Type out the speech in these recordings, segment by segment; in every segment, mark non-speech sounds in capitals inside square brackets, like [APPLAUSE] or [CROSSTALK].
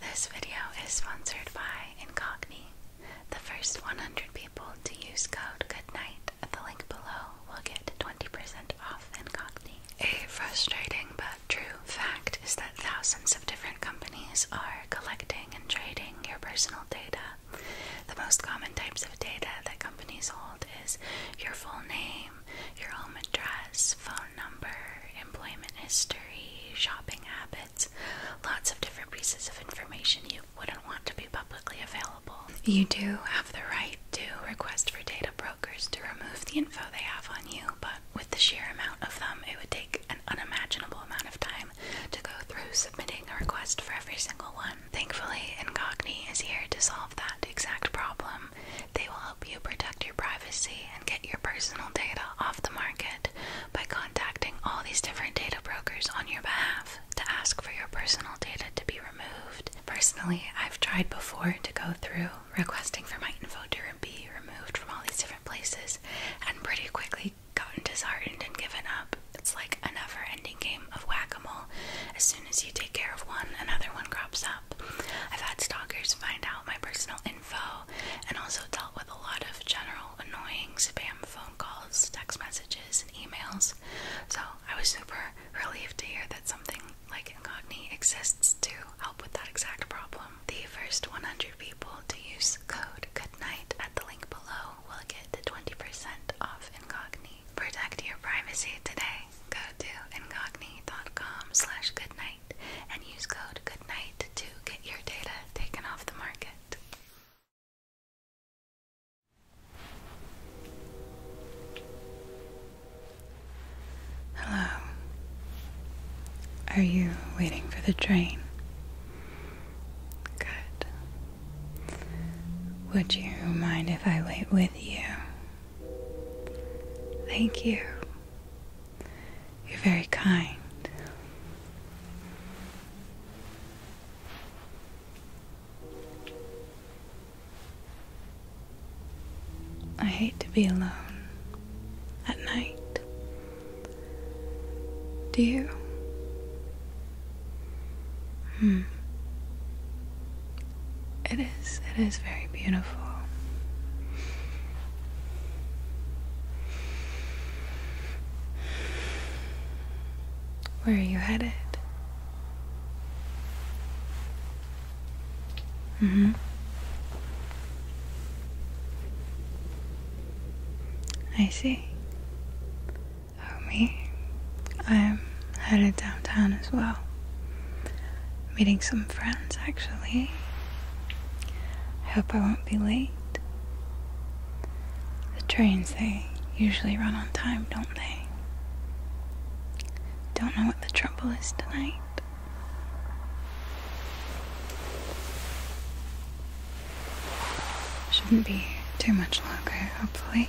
This video is sponsored by Incogni. The first 100 people to use code GOODNIGHT at the link below will get 20% off Incogni. A frustrating but true fact is that thousands of different companies are collecting and trading your personal data. The most common types of data that companies hold is your full name, your home address, phone number, employment history, shopping habits, lots of different pieces of information you wouldn't want to be publicly available. You do have the right to request for data brokers to remove the info they have on you, but with the sheer amount of them, it would take an unimaginable amount of time to go through submitting a request for every single one. Thankfully, Incogni is here to solve that exact problem. They will help you protect your privacy and get your personal data off the market by contacting all these different data brokers on your behalf to ask for your personal data to be removed. Personally, I've tried before to go through requesting for my info to be removed from all these different places and pretty quickly gotten disheartened and given up. It's like a never ending game of whack a mole. As soon as you take care of one, another one crops up. I've had stalkers find out my personal info, and also dealt with a lot of general annoying spam phone calls, text messages, and emails. So I was super relieved to hear that something like Incogni exists to help with that exact problem. The first 100 people to use code GOODNIGHT at the link below will get 20% off Incogni. Protect your privacy today. Go to incogni.com slash goodnight and use code Goodnight to get your data taken off the market. Hello. Are you waiting for the train? Good. Would you mind if I wait with you? Thank you. You're very kind. I hate to be alone at night. Do you? Hmm. It is, it is very beautiful. Where are you headed? Mm-hmm. I see. Oh, me? I'm headed downtown as well meeting some friends actually. I hope I won't be late. The trains, they usually run on time, don't they? Don't know what the trouble is tonight. Shouldn't be too much longer, hopefully.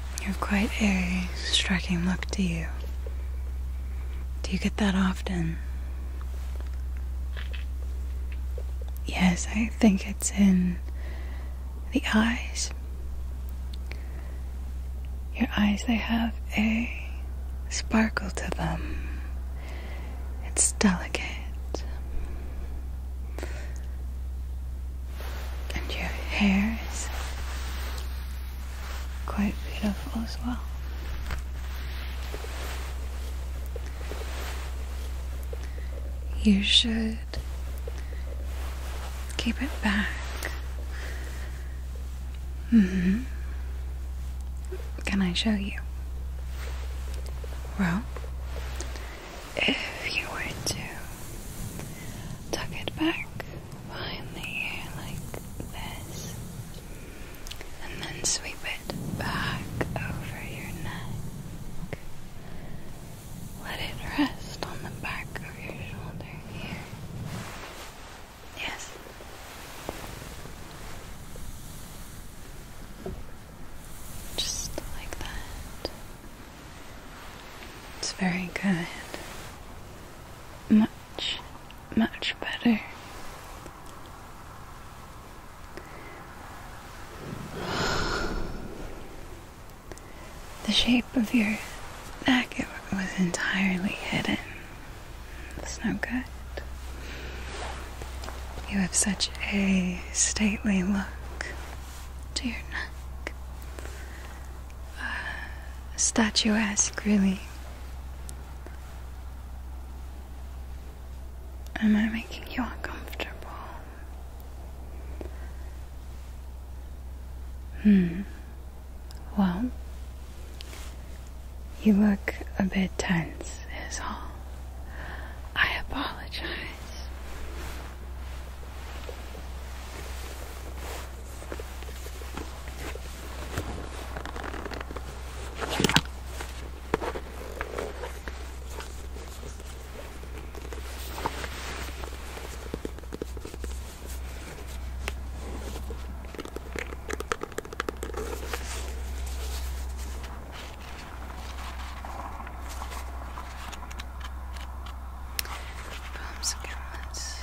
You have quite a striking look to you. Do you get that often? Yes, I think it's in the eyes. Your eyes, they have a sparkle to them. It's delicate. And your hair is quite beautiful as well. You should keep it back. Mm-hmm. Can I show you? Well, if you were to tuck it back behind the ear like this, and then sweep it back over your neck. Let it rest on the back of your shoulder here. Yes. Just like that. It's very good much, much better. The shape of your neck was entirely hidden. That's no good. You have such a stately look to your neck uh, statuesque, really. Am I making you uncomfortable? Hmm. Well, you look a bit tense, is all. I apologize. Films, cameras,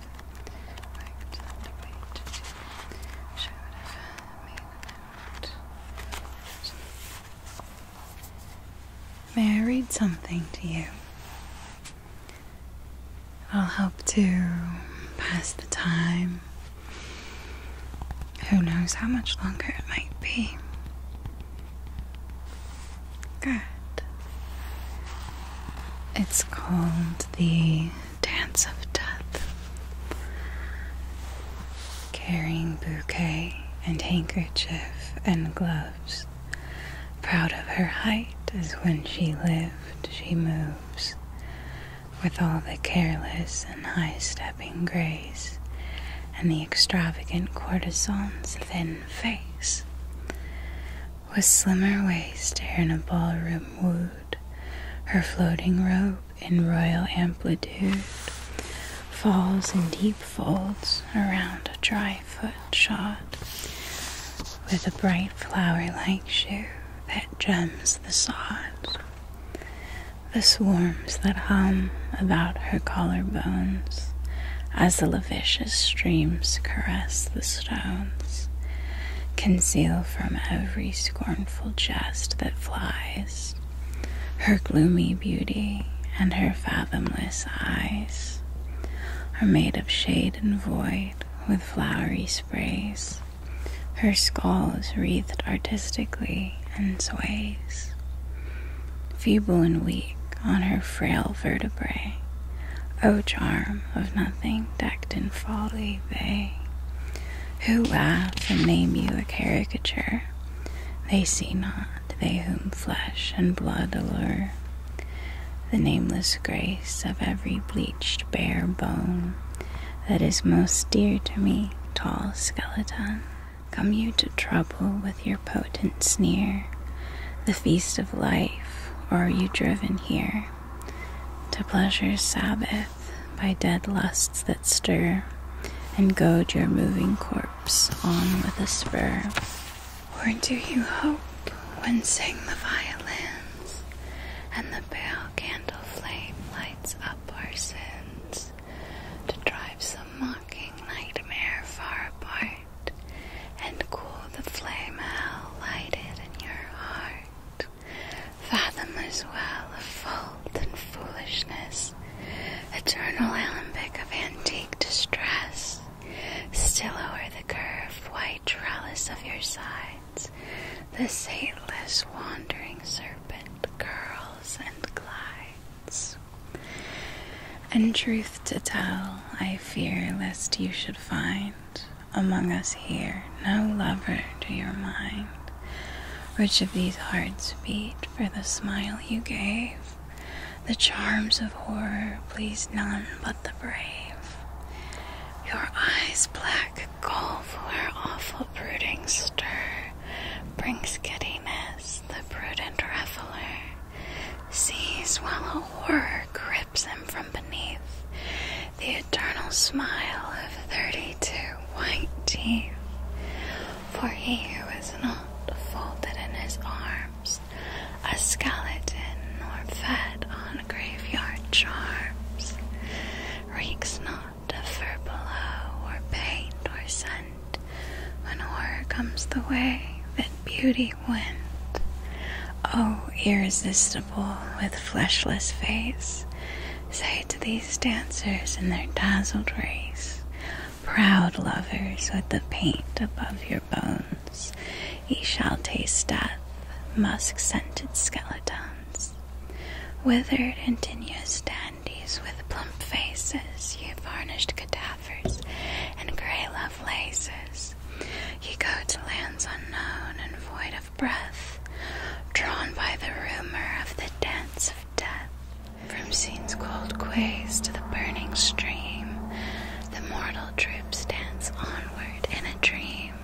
May I read something to you? It'll help to pass the time. Who knows how much longer it might be? Good. It's called the Dance of Death. Carrying bouquet and handkerchief and gloves. Proud of her height as when she lived, she moves with all the careless and high stepping grace and the extravagant courtesan's thin face with slimmer waist hair in a ballroom wood, her floating robe in royal amplitude falls in deep folds around a dry foot shot, with a bright flower like shoe that gems the sod. The swarms that hum about her collarbones as the vicious streams caress the stones, conceal from every scornful jest that flies her gloomy beauty and her fathomless eyes are made of shade and void with flowery sprays. Her skull is wreathed artistically and sways. Feeble and weak on her frail vertebrae, O charm of nothing decked in folly they who laugh and name you a caricature, they see not they whom flesh and blood allure, the nameless grace of every bleached bare bone that is most dear to me, tall skeleton. Come you to trouble with your potent sneer, the feast of life, or are you driven here, to pleasure's Sabbath by dead lusts that stir, and goad your moving corpse on with a spur. Or do you hope when sing the violins, and the pale candle flame lights up our sins, to drive some mocking nightmare far apart? and cool the flame hell lighted in your heart. Fathom as well of fault and foolishness, eternal alembic of antique distress. Still o'er the curved white trellis of your sides, the sateless wandering serpent curls and glides. And truth to tell, I fear lest you should find among us here, no lover to your mind. Which of these hearts beat for the smile you gave? The charms of horror please none but the brave. Your eyes black for where awful brooding stir brings giddiness, the prudent reveler sees while a horror grips him from beneath the eternal smile of thirty-two white teeth. For he who is not folded in his arms, a skeleton, or fed on graveyard charms, reeks not of fur below, or paint, or scent, when horror comes the way that beauty Wind, Oh, irresistible, with fleshless face, say to these dancers in their dazzled race, proud lovers with the paint above your bones, ye shall taste death, musk scented skeletons, withered and tenuous dandies with plump faces, ye varnished cadavers and grey lovers. Places, laces. You go to lands unknown and void of breath, drawn by the rumor of the dance of death. From scene's cold quays to the burning stream, the mortal troops dance onward in a dream.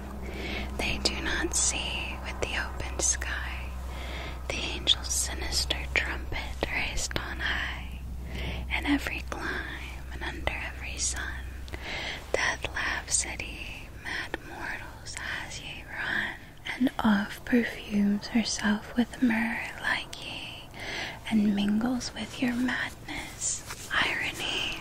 They do not see with the open sky the angel's sinister trumpet raised on high, and every climb and under every sun. Death laughs at ye, mad mortals, as ye run, and oft perfumes herself with myrrh like ye, and mingles with your madness. Irony.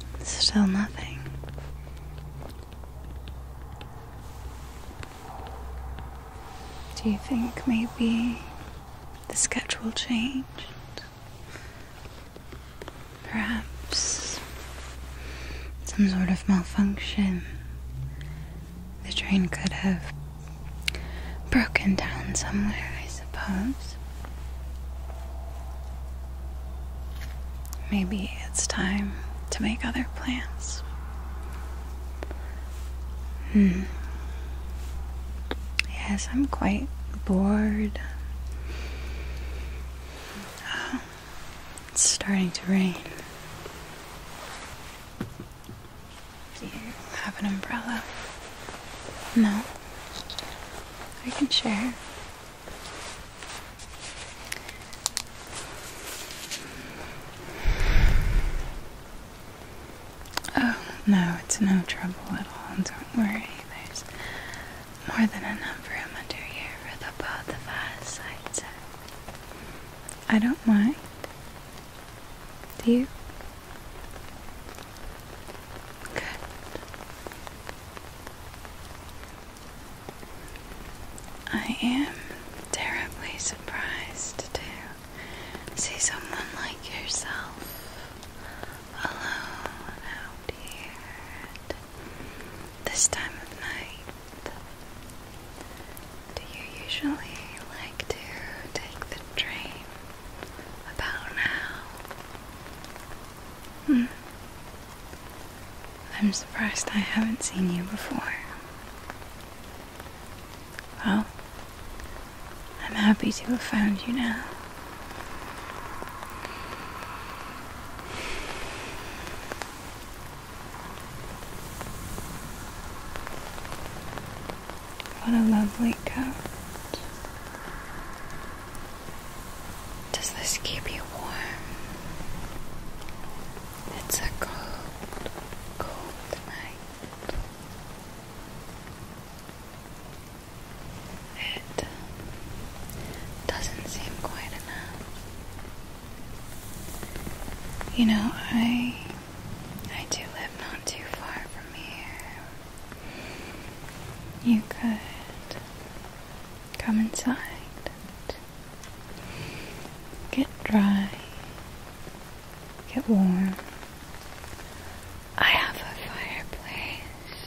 Still nothing. Do you think maybe the schedule changed? Perhaps some sort of malfunction. The train could have broken down somewhere, I suppose. Maybe it's time to make other plans. Hmm. Yes, I'm quite bored. Oh, it's starting to rain. Do you have an umbrella? No. I can share. Oh, no, it's no trouble at all. Don't worry, there's more than enough room under here for the both of us, I don't mind. Do you? I am terribly surprised to see someone like yourself alone out here at this time of night. Do you usually like to take the train about now? Hmm. I'm surprised I haven't seen you before. Well, I'm happy to have found you now. What a lovely coat. Does this keep you warm? It's a cold, cold night. It um, doesn't seem quite enough. You know, I I do live not too far from here. You could come inside, get dry, get warm. I have a fireplace.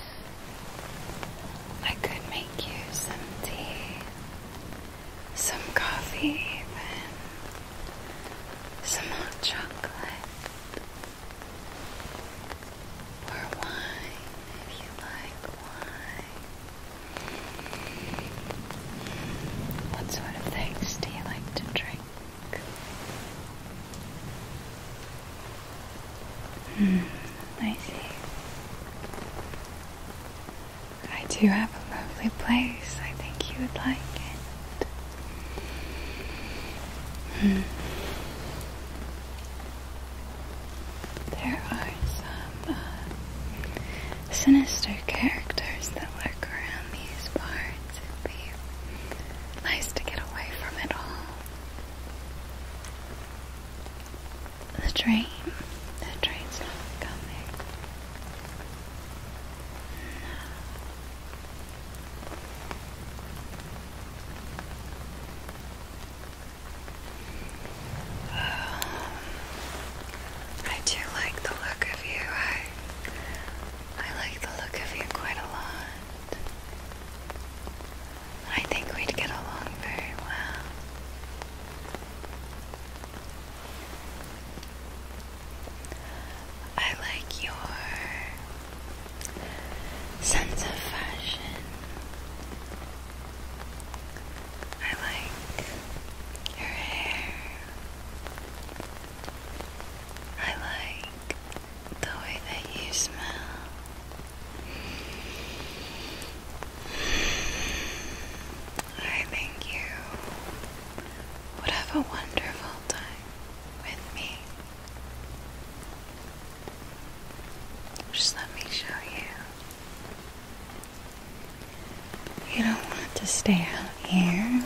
I could make you some tea, some coffee, even some hot chocolate. Or wine, if you like wine. What sort of things do you like to drink? Hmm, I see. I do have a lovely place. I think you would like it. Hmm. There are some uh, sinister characters that lurk around these parts. It'd be nice to get away from it all. The train. The train's not coming. No. [SIGHS] I do like the look of you. I I like the look of you quite a lot. I think we'd get along very well. I like your sense of fashion. I like your hair. I like the way that you smell. I think you would have a wonderful time with me. Just let me show you. You don't want to stay out here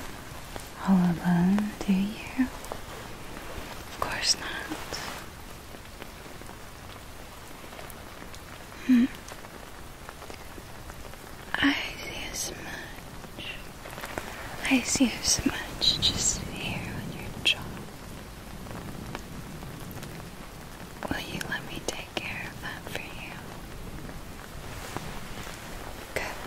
all alone, do you? Of course not. Hmm. I see a smudge. I see a smudge just here on your jaw. Will you let me take care of that for you? Good.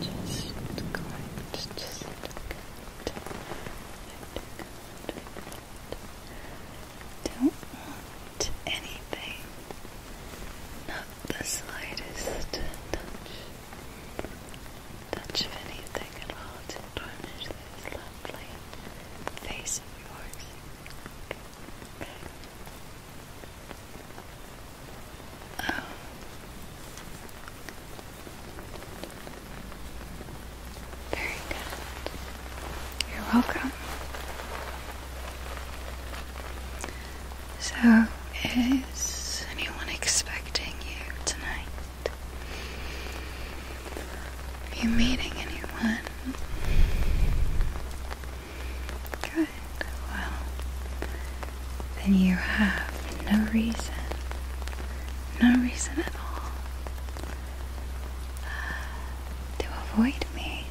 Just going to just look at Don't want anything. Not the slightest touch. Touch of anything at all to tarnish this lovely face of yours. Very good. You're welcome. So, is anyone expecting you tonight? Are you meeting anyone? Good. Well, then you have no reason, no reason at all uh, to avoid me.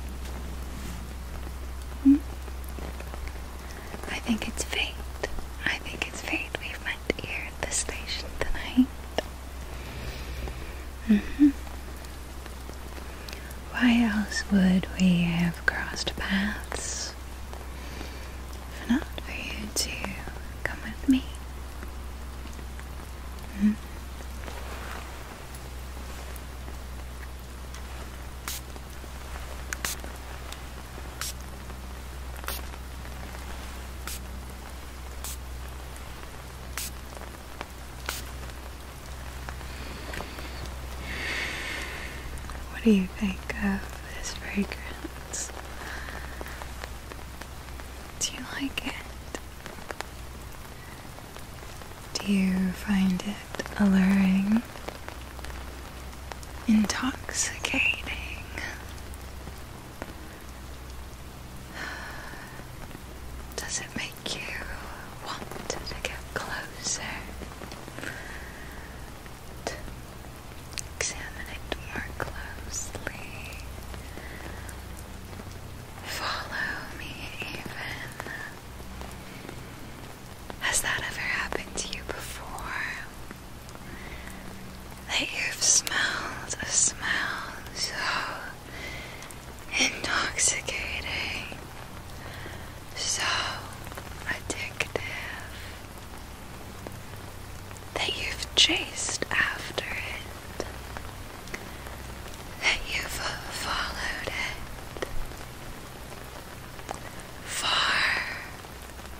Hmm? I think it's fate. I think it's fate we've met here at the station tonight. Mm hmm. Why else would we have crossed paths? If not for you to come with me. Hmm? What do you think of this fragrance? Do you like it? Do you find it alluring? Intoxicating? Does it make you want to get closer? examine it more closely. Follow me, even. Has that ever happened to you before? That you've smelled a smell so intoxicating so addictive that you've chased after it, that you've followed it far,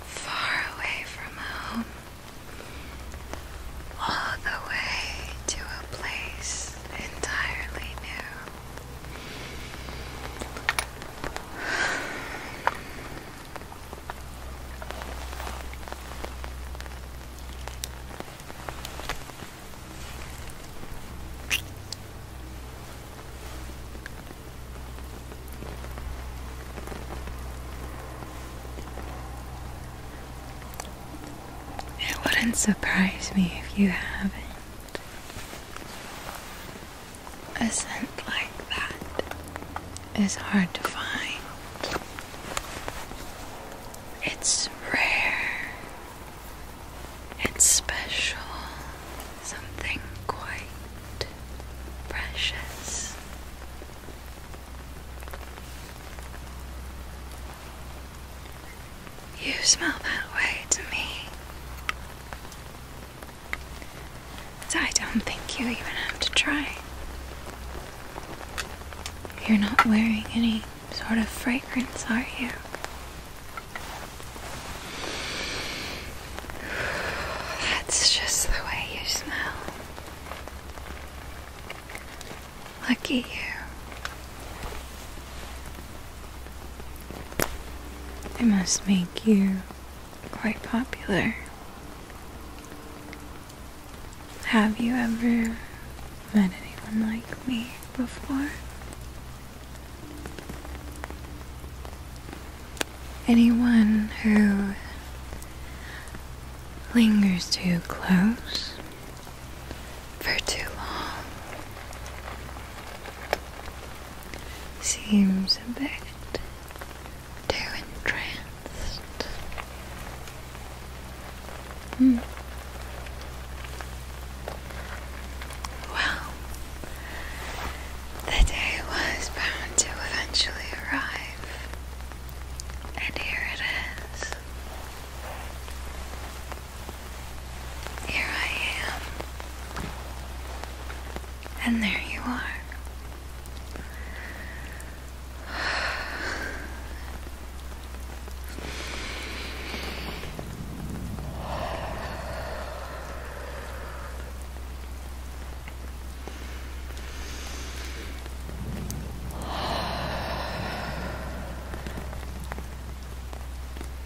far away from home, all the way to a place entirely new. It wouldn't surprise me if you haven't. A scent like that is hard to find. It's rare. It's special. Something quite precious. You smell that way to me. I don't think you even have to try. You're not wearing any sort of fragrance, are you? That's just the way you smell. Look at you. It must make you quite popular. Have you ever met anyone like me before? Anyone who lingers too close for too long seems a bit too entranced. Hmm. Well, the day was bound to eventually arrive, and here it is. Here I am. And there you are.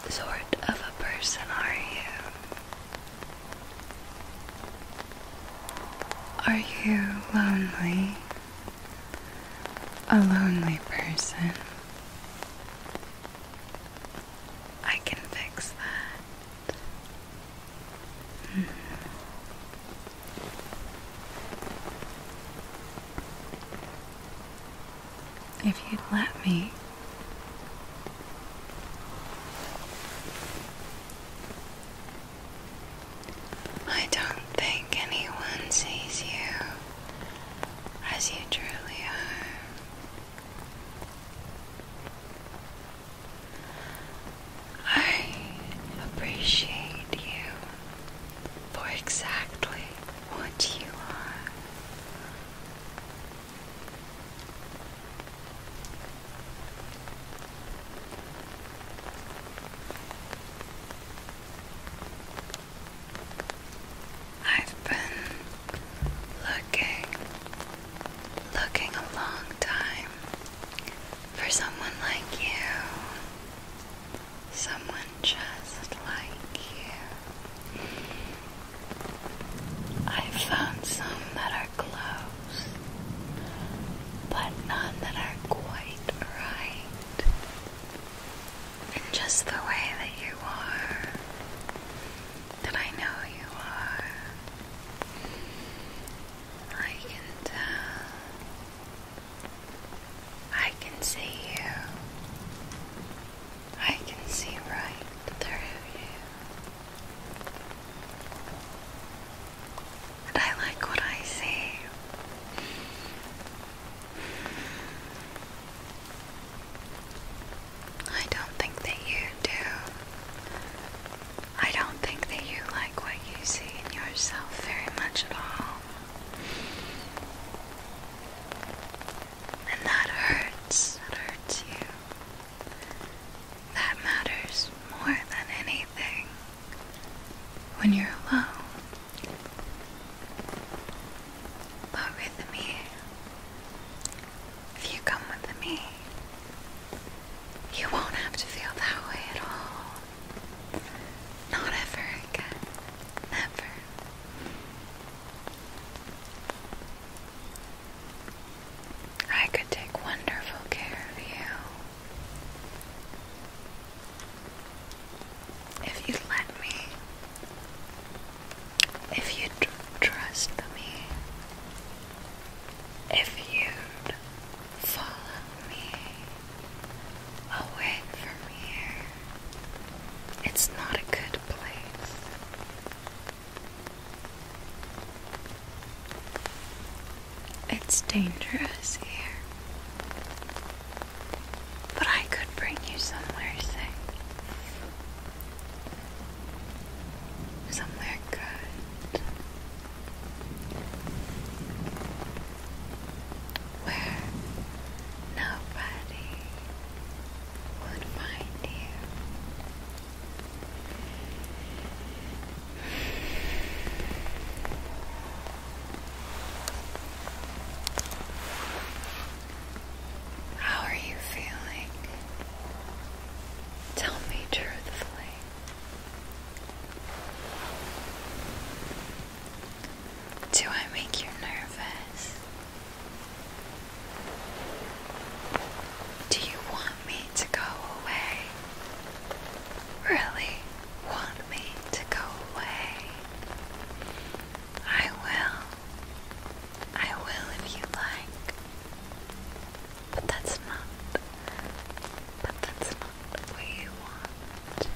What sort of a person are you? Are you lonely? A lonely person? I can fix that. Hmm if you'd let me. I don't think anyone sees you as you truly are. I appreciate you for exactly what you are. I've been looking, looking a long time for someone like you, someone just like you. I found some that are close, but none that are quite right. And just the way that you are, that I know you are, I can tell. I can see you. I can see right through you. And I like what I see. I don't think that you do. I don't think that you like what you see in yourself very much at all. And that hurts. That hurts you. That matters more than anything when you're alone. But with me, if you come with me, you won't have to feel that way at all. Not ever again. Never. I could take wonderful care of you if you let me, if you trust me, if you follow me away from here. It's not a good it's dangerous here. But I could bring you somewhere safe. Somewhere good. Where nobody would find you. How are you feeling? Tell me truthfully. Do I make you nervous? Do you want me to go away? Really want me to go away? I will. I will if you like. But that's not. But that's not what you want.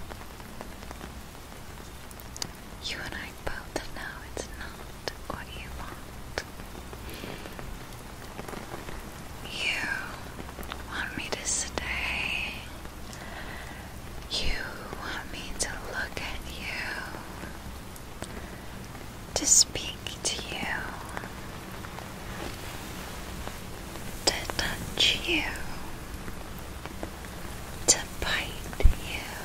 You and I both know it's not what you want. You want me to stay. You want me to look at you. To speak to you. To touch you. To bite you.